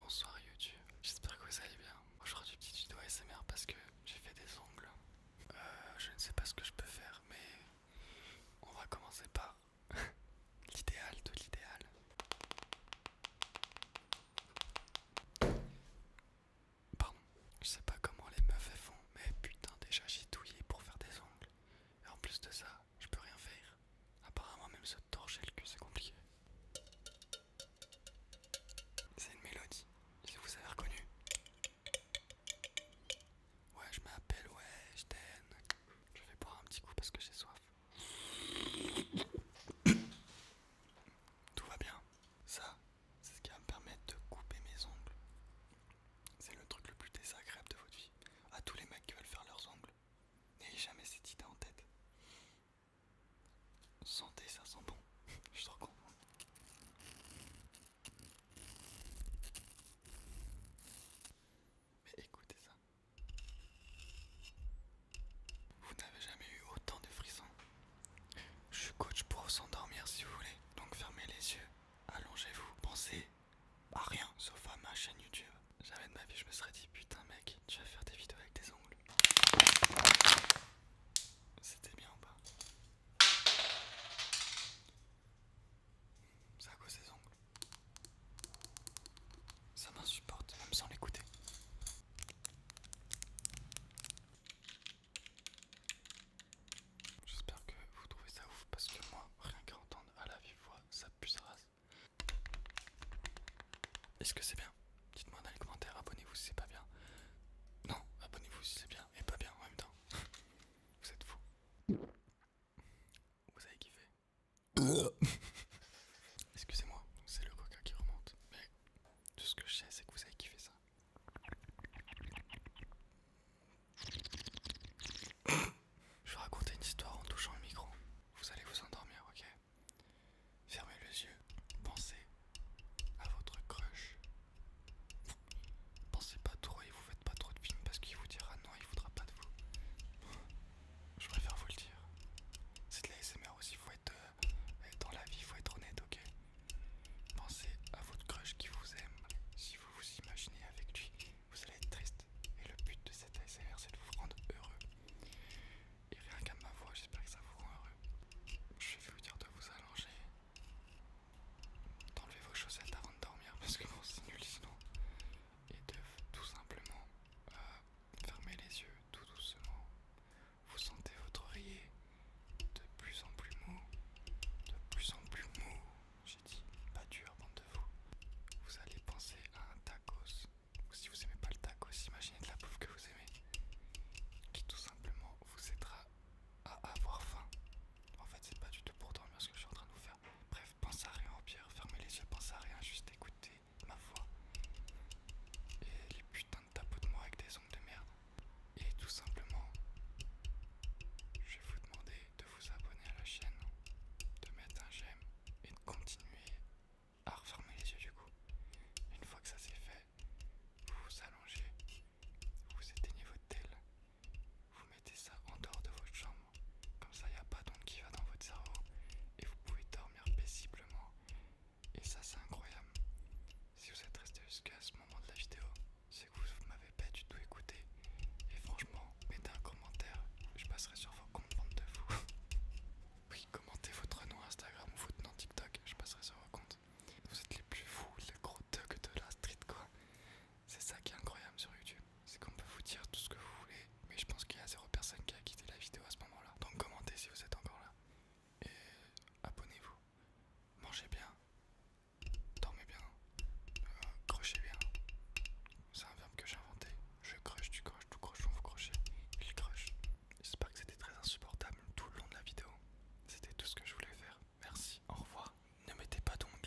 Bonsoir YouTube, j'espère que vous allez bien. Aujourd'hui petit tuto ASMR parce que j'ai fait des ongles. Euh, je ne sais pas ce que je peux faire mais on va commencer par l'idéal de l'idéal. Pardon, je sais pas comment les meufs font mais putain déjà j'ai douillé pour faire des ongles. Et en plus de ça, je peux rien faire. Apparemment même ce torcher le c'est compliqué. C'est une mélodie, si vous avez reconnu. Ouais, je m'appelle, ouais, je t'aime. Je vais boire un petit coup parce que j'ai soif. Tout va bien. Ça, c'est ce qui va me permettre de couper mes ongles. C'est le truc le plus désagréable de votre vie. À tous les mecs qui veulent faire leurs ongles, N'ayez jamais cette idée en tête. sentez ça sent bon. Je te recommande. Mais écoutez ça. Vous n'avez jamais eu autant de frissons. Je suis coach pour vous s'endormir si vous voulez. Donc fermez les yeux, allongez-vous, pensez bah rien, sauf à ma chaîne YouTube. Jamais de ma vie je me serais dit putain mec, tu vas faire des vidéos avec des ongles. C'était bien ou pas C'est à cause des ongles. Ça m'insupporte, même sans l'écouter. J'espère que vous trouvez ça ouf parce que moi, rien qu'à entendre à la vive voix, ça pue Est-ce que c'est bien Dites-moi dans les commentaires, abonnez-vous si c'est pas bien. Non, abonnez-vous si c'est bien et pas bien en même temps. vous êtes fous. Vous avez kiffé Excusez-moi, c'est le coca qui remonte. Mais tout ce que je sais, c'est que vous avez kiffé ça. Je vais raconter une histoire en touchant le micro. Vous allez vous endormir, ok Fermez les yeux, pensez à votre crush. Pensez pas trop et vous faites pas trop de films parce qu'il vous dira non, il voudra pas de vous. Je préfère vous le dire. C'est de l'ASMR aussi, vous êtes euh, dans la vie, il faut être honnête, ok Pensez à votre crush qui vous aime. Si vous vous imaginez avec lui, vous allez être triste. Et le but de cette ASMR, c'est de vous rendre heureux. Et rien qu'à ma voix, j'espère que ça vous rend heureux. Je vais vous dire de vous allonger, d'enlever vos chaussettes avant de dormir parce que bon, c'est nul sinon. Et de tout simplement euh, fermer les yeux tout doucement vous sentez votre oreiller de plus en plus mou, de plus en plus mou, j'ai dit, pas dur, bande de vous. Vous allez penser à un tacos. Si vous aimez pas le tacos, imaginez de la bouffe que vous aimez, qui tout simplement vous aidera à avoir faim. En fait, c'est pas du tout pour dormir ce que je suis en train de vous faire. Bref, pensez à rien en pierre, fermez les yeux, pensez à rien, juste écoutez ma voix Et les putains de tapotements de avec des ongles de merde. Et tout simplement, je vais vous demander de vous abonner à la chaîne, de mettre un j'aime et de continuer à refermer les yeux du coup. Une fois que ça c'est fait, vous vous allongez, vous éteignez votre telle, vous mettez ça en dehors de votre chambre, comme ça il n'y a pas d'onde qui va dans votre cerveau et vous pouvez dormir paisiblement. Et ça, c'est incroyable. Si vous êtes resté jusqu'à ce moment de la vidéo, c'est que vous m'avez pas du tout écouté. Et franchement, mettez un commentaire, je passerai sur vos comptes de vous. oui, commentez votre nom Instagram ou votre nom TikTok, je passerai sur vos comptes. Vous êtes les plus fous, les gros thugs de la street, quoi. C'est ça qui est incroyable sur YouTube, c'est qu'on peut vous dire tout ce que vous voulez, mais je pense qu'il y a zéro personne qui a quitté la vidéo à ce moment-là. Donc commentez si vous êtes encore là. Et abonnez-vous. Mangez bien. Dormez bien. Euh, crochez bien. C'est un verbe que j'ai inventé. Je crush, tu croches, tout croche, on vous crochez. Il croche. J'espère que c'était très insupportable tout le long de la vidéo. C'était tout ce que je voulais faire. Merci. Au revoir. Ne mettez pas d'ongles.